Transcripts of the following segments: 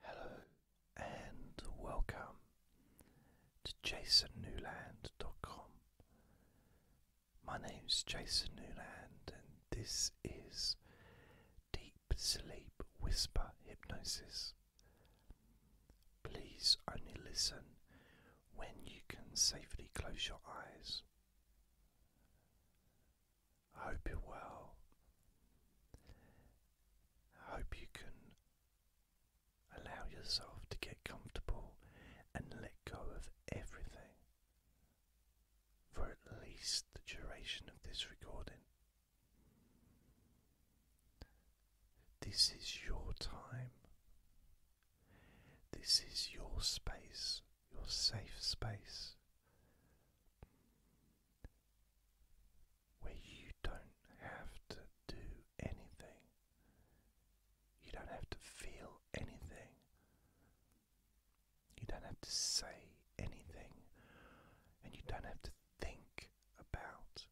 Hello and welcome to jasonnewland.com. My name's Jason Newland and this is Deep Sleep Whisper Hypnosis. Please only listen when you can safely close your eyes. I hope you're well. I hope you can allow yourself to get comfortable and let go of everything for at least the duration of this recording. This is your time. This is your space, your safe space where you don't have to do anything, you don't have to feel anything, you don't have to say anything, and you don't have to think about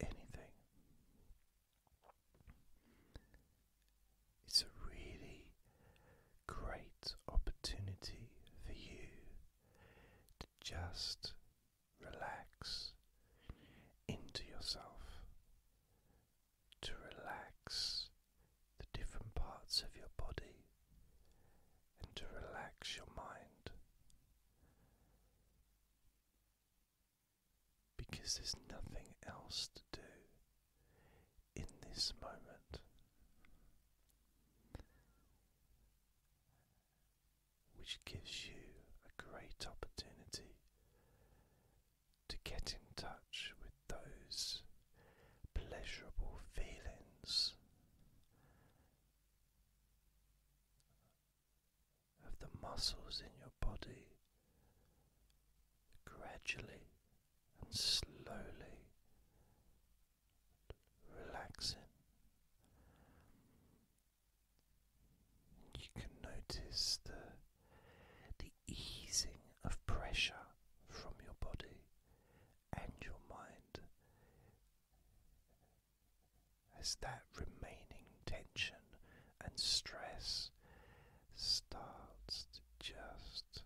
anything. It's really great opportunity for you to just relax into yourself, to relax the different parts of your body, and to relax your mind. Because there's nothing else to do in this moment which gives you a great opportunity to get in touch with those pleasurable feelings of the muscles in your body gradually and slowly relaxing. You can notice the the easing of pressure from your body and your mind as that remaining tension and stress starts to just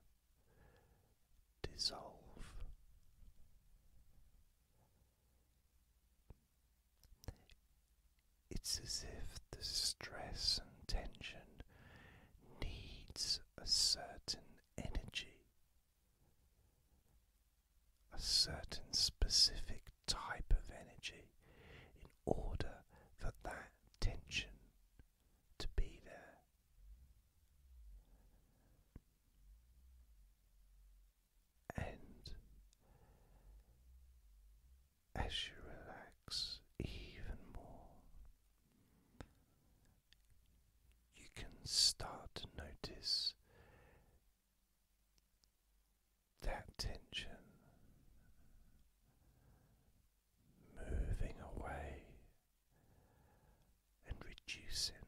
dissolve. It's as if the stress and tension needs a certain energy, a certain specific type of energy in order for that tension to be there. And as you relax even more, you can start to notice that tension moving away and reducing.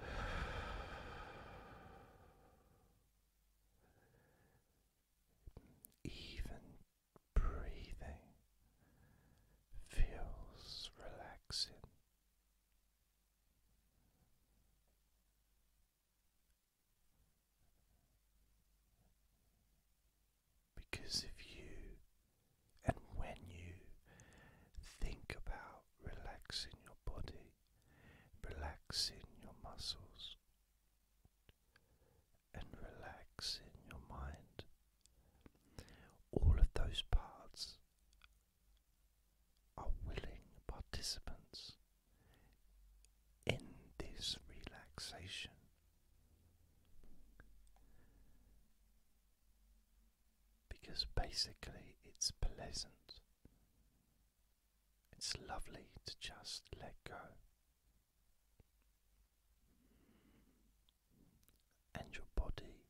Even breathing feels relaxing. Because if you and when you think about relaxing your body, relaxing your muscles, and relaxing your mind, all of those parts are willing participants in this relaxation. Because basically, it's pleasant. It's lovely to just let go. And your body,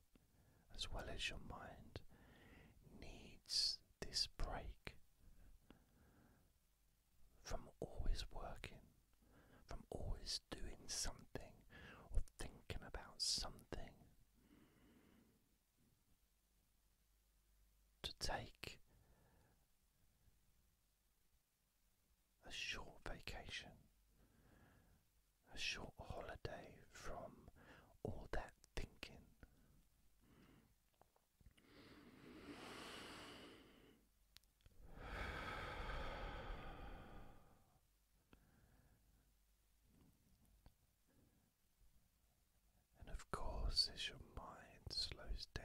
as well as your mind, needs this break from always working, from always doing something or thinking about something, to take a short vacation, a short holiday from all that thinking, and of course, as your mind slows down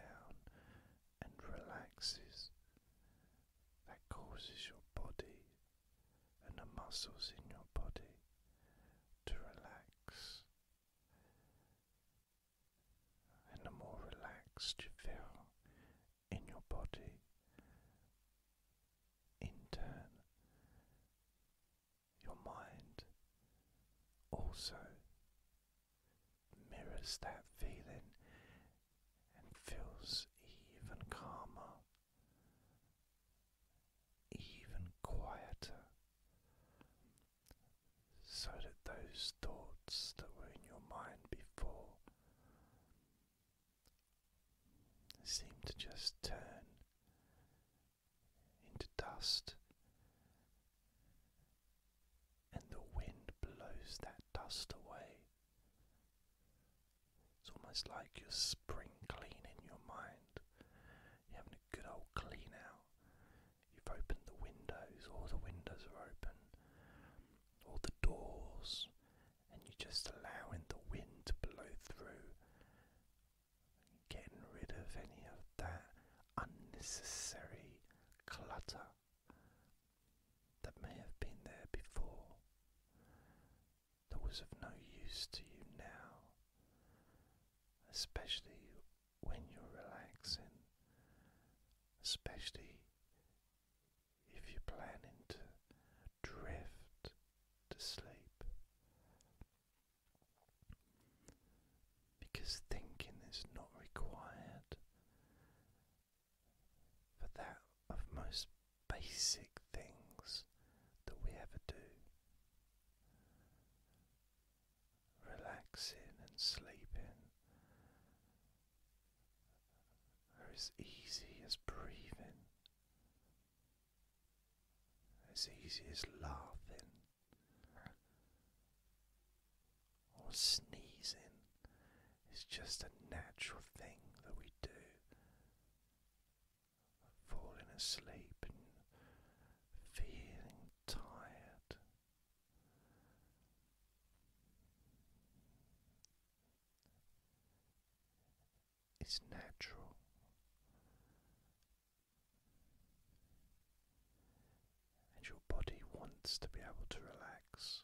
and relaxes, that causes your body and the muscles in your body to relax and the more relaxed you feel in your body, in turn, your mind also mirrors that feeling and feels even calmer even quieter so that those thoughts that were in your mind before seem to just turn into dust. And the wind blows that dust away. It's almost like you're spring cleaning your mind having a good old clean out. You've opened the windows, all the windows are open, all the doors, and you're just allowing the wind to blow through, getting rid of any of that unnecessary clutter that may have been there before that was of no use to you now, especially when you're relaxing, especially if you're planning to drift to sleep. Because thinking is not required for that of most basic things that we ever do relaxing and sleeping are as easy as breathing, as easy as laughing or sneezing. It's just a natural thing that we do falling asleep and feeling tired. It's natural. And your body wants to be able to relax.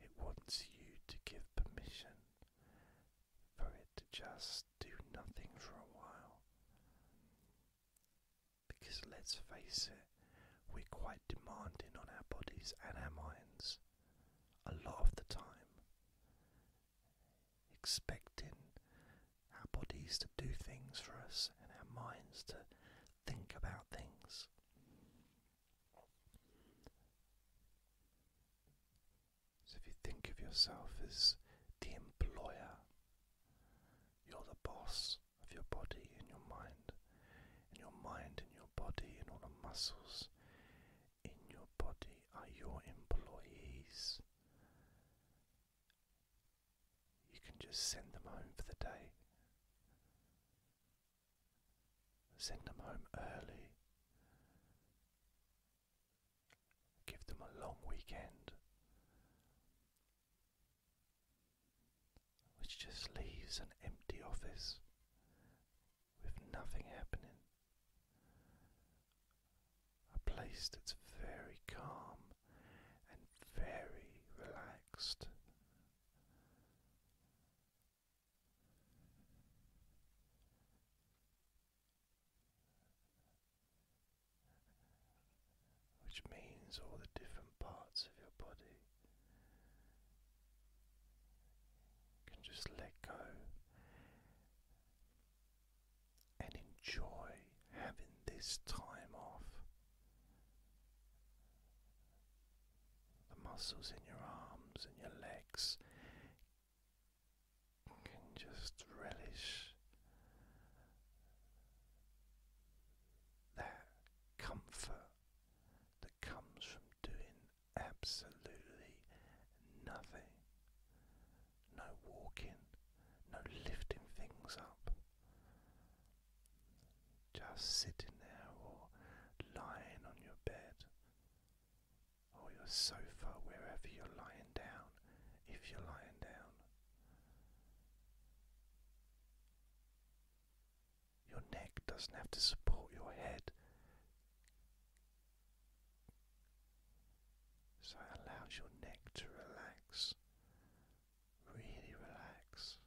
It wants you to give permission for it to just do nothing for a while. Because let's face it, we're quite demanding on our bodies and our minds a lot of the time, expecting our bodies to do things for us and our minds to think about things. So if you think of yourself as the employer, you're the boss of your body and your mind, and your mind and your body and all the muscles in your body are your employees. You can just send them home for the day. Send them home early. Give them a long weekend. Which just leaves an empty office with nothing happening. A place that's very calm and very relaxed. Which means all the different parts of your body can just let go and enjoy having this time off the muscles in your arms and your legs can just relish that comfort that comes from doing absolutely nothing. No walking, no lifting things up. Just sitting there or lying on your bed or your sofa, wherever you're lying down, if you're lying down. Your neck doesn't have to support your head. So it allows your neck to relax, really relax.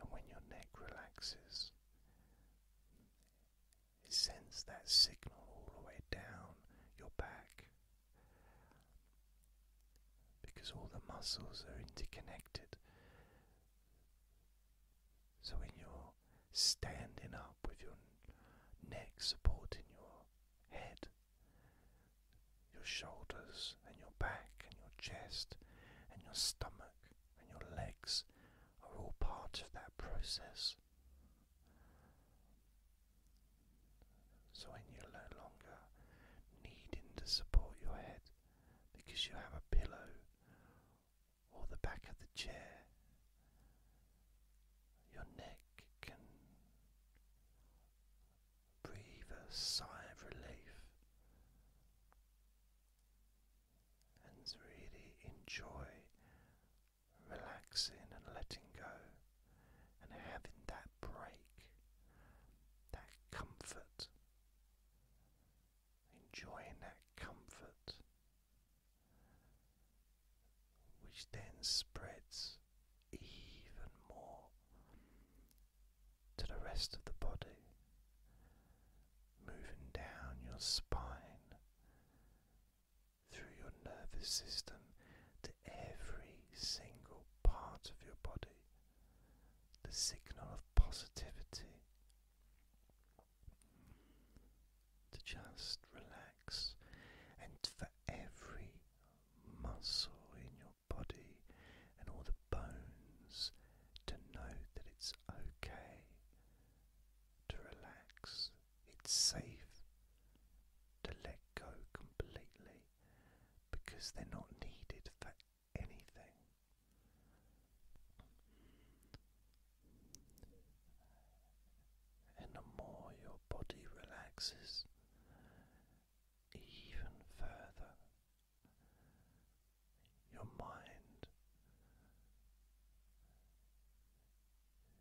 And when your neck relaxes, it sends that signal all the way down your back because all the muscles are interconnected. So when you're standing up with your neck supporting your head, your shoulders and your back and your chest and your stomach and your legs are all part of that process. So when you're no longer needing to support your head because you have a pillow or the back of the chair, your neck can breathe a sigh of relief and really enjoy relaxing and letting go and having that break, that comfort, enjoying that comfort, which then spreads even more to the rest of the body, moving down your spine through your nervous system to every single part of your body, the signal of positivity to just relax and for every muscle in your body and all the bones to know that it's okay to relax. It's safe to let go completely because they're not needed for anything. And the more your body relaxes, even further your mind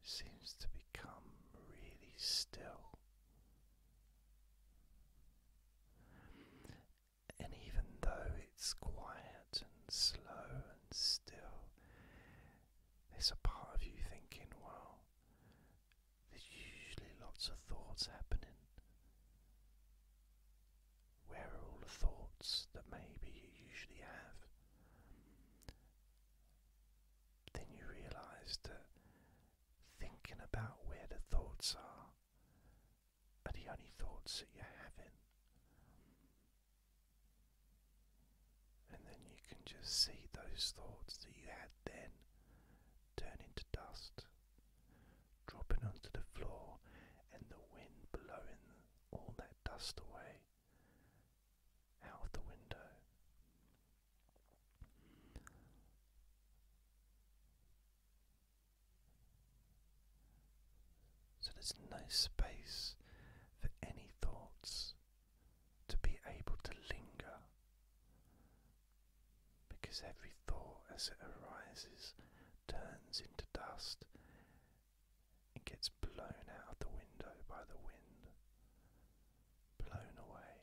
seems to become really still. And even though it's quiet and slow and still, there's a part of you thinking, well, there's usually lots of thoughts happening. Where are all the thoughts that maybe you usually have? Then you realize that thinking about where the thoughts are are the only thoughts that you're having. And then you can just see those thoughts that you had then turn into dust dropping onto the floor and the wind blowing all that dust away out of the window. So there's no space for any thoughts to be able to linger because every thought as it arises turns into dust and gets blown out of the window by the wind, blown away.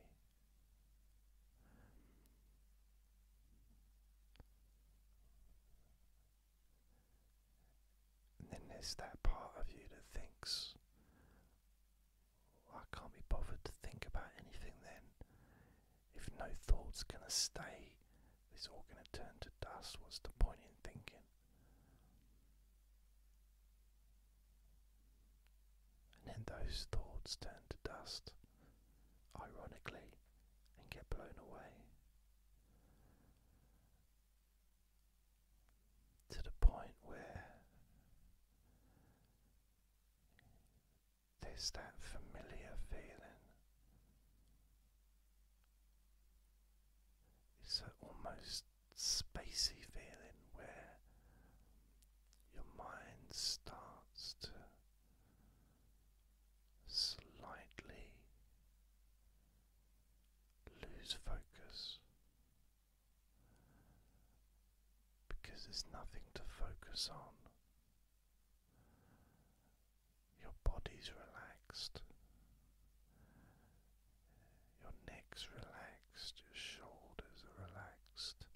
And then there's that part of you that thinks, I can't be bothered to think about anything then. If no thought's gonna stay, it's all gonna turn to dust. What's the point in thinking? And then those thoughts turn to dust, ironically, and get blown away. To the point where there's that familiar feeling. It's an almost spacey feeling where your mind starts to slightly lose focus because there's nothing to focus on. Your body's relaxed, your neck's relaxed, your shoulders are relaxed,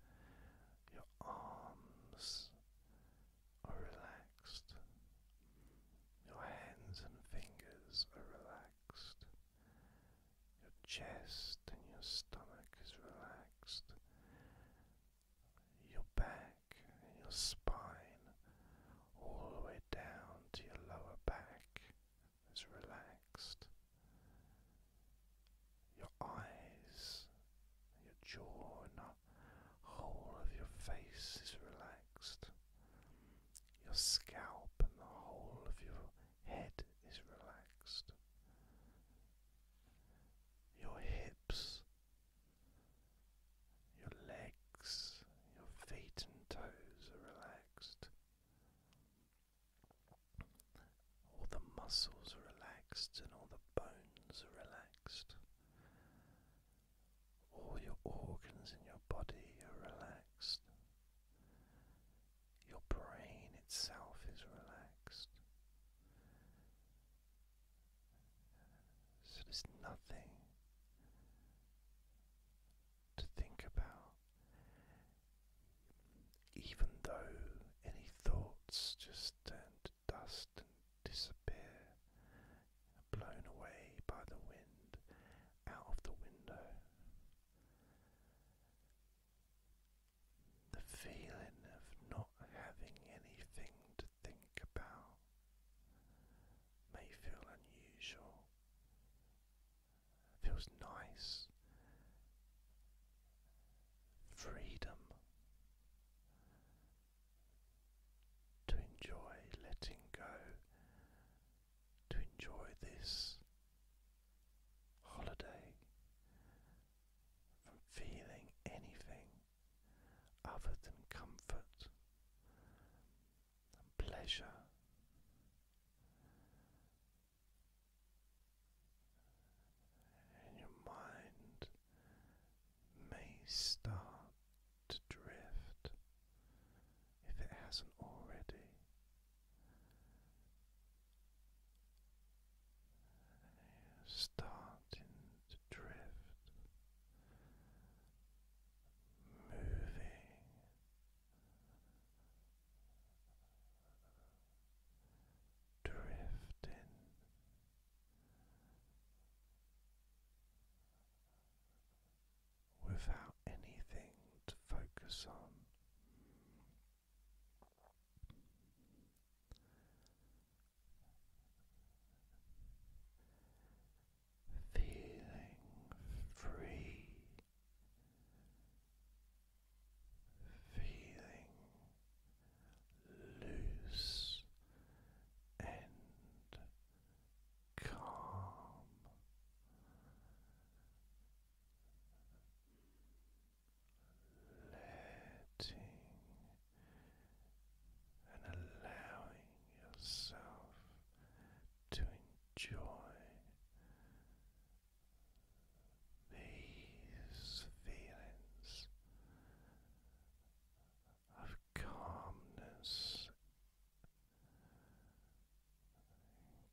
your arms are relaxed, your hands and fingers are relaxed. Your chest and your stomach is relaxed. Your back and your spine, all the way down to your lower back, is relaxed. Your eyes, your jaw, and the whole of your face is relaxed. Your scalp and the whole of your head is relaxed, your hips, your legs, your feet and toes are relaxed. All the muscles relaxed and all the bones relaxed. All your organs in your body are relaxed. Your brain itself is relaxed. So there's nothing to think about. Even though any thoughts just turn to dust and disappear, blown away by the wind out of the window the feeling of not having anything to think about may feel unusual. feels nice. Freedom to enjoy letting go to enjoy this holiday from feeling anything other than comfort and pleasure. And your mind may start to drift if it hasn't already. And you starting to drift, moving. Drifting without anything to focus on. Feeling free, feeling loose and calm, letting and allowing yourself to enjoy these feelings of calmness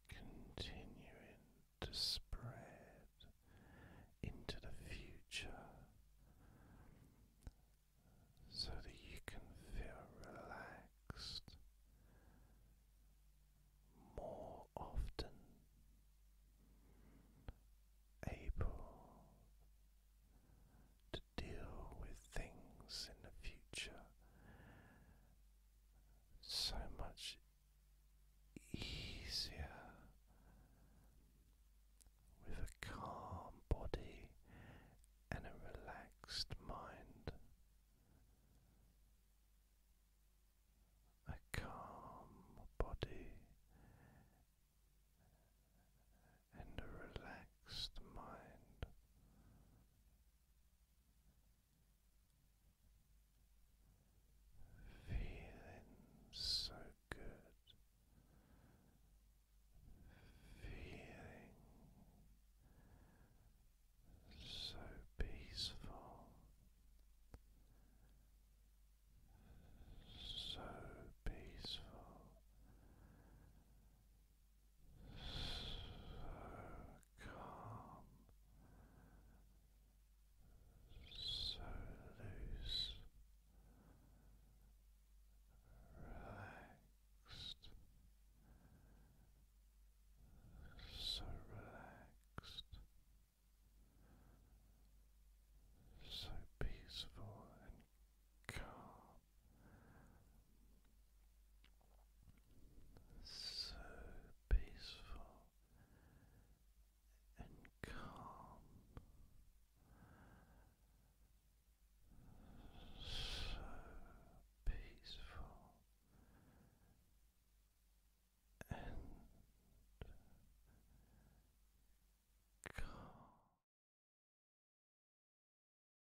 continuing to spread into the future so that you can feel relaxed more often, able to deal with things in the future so much easier with a calm body and a relaxed mind. A calm body and a relaxed mind. Feeling so good, feeling so peaceful, so peaceful, so calm, so loose, relaxed, so relaxed, so peaceful and calm so peaceful and calm, so peaceful and calm.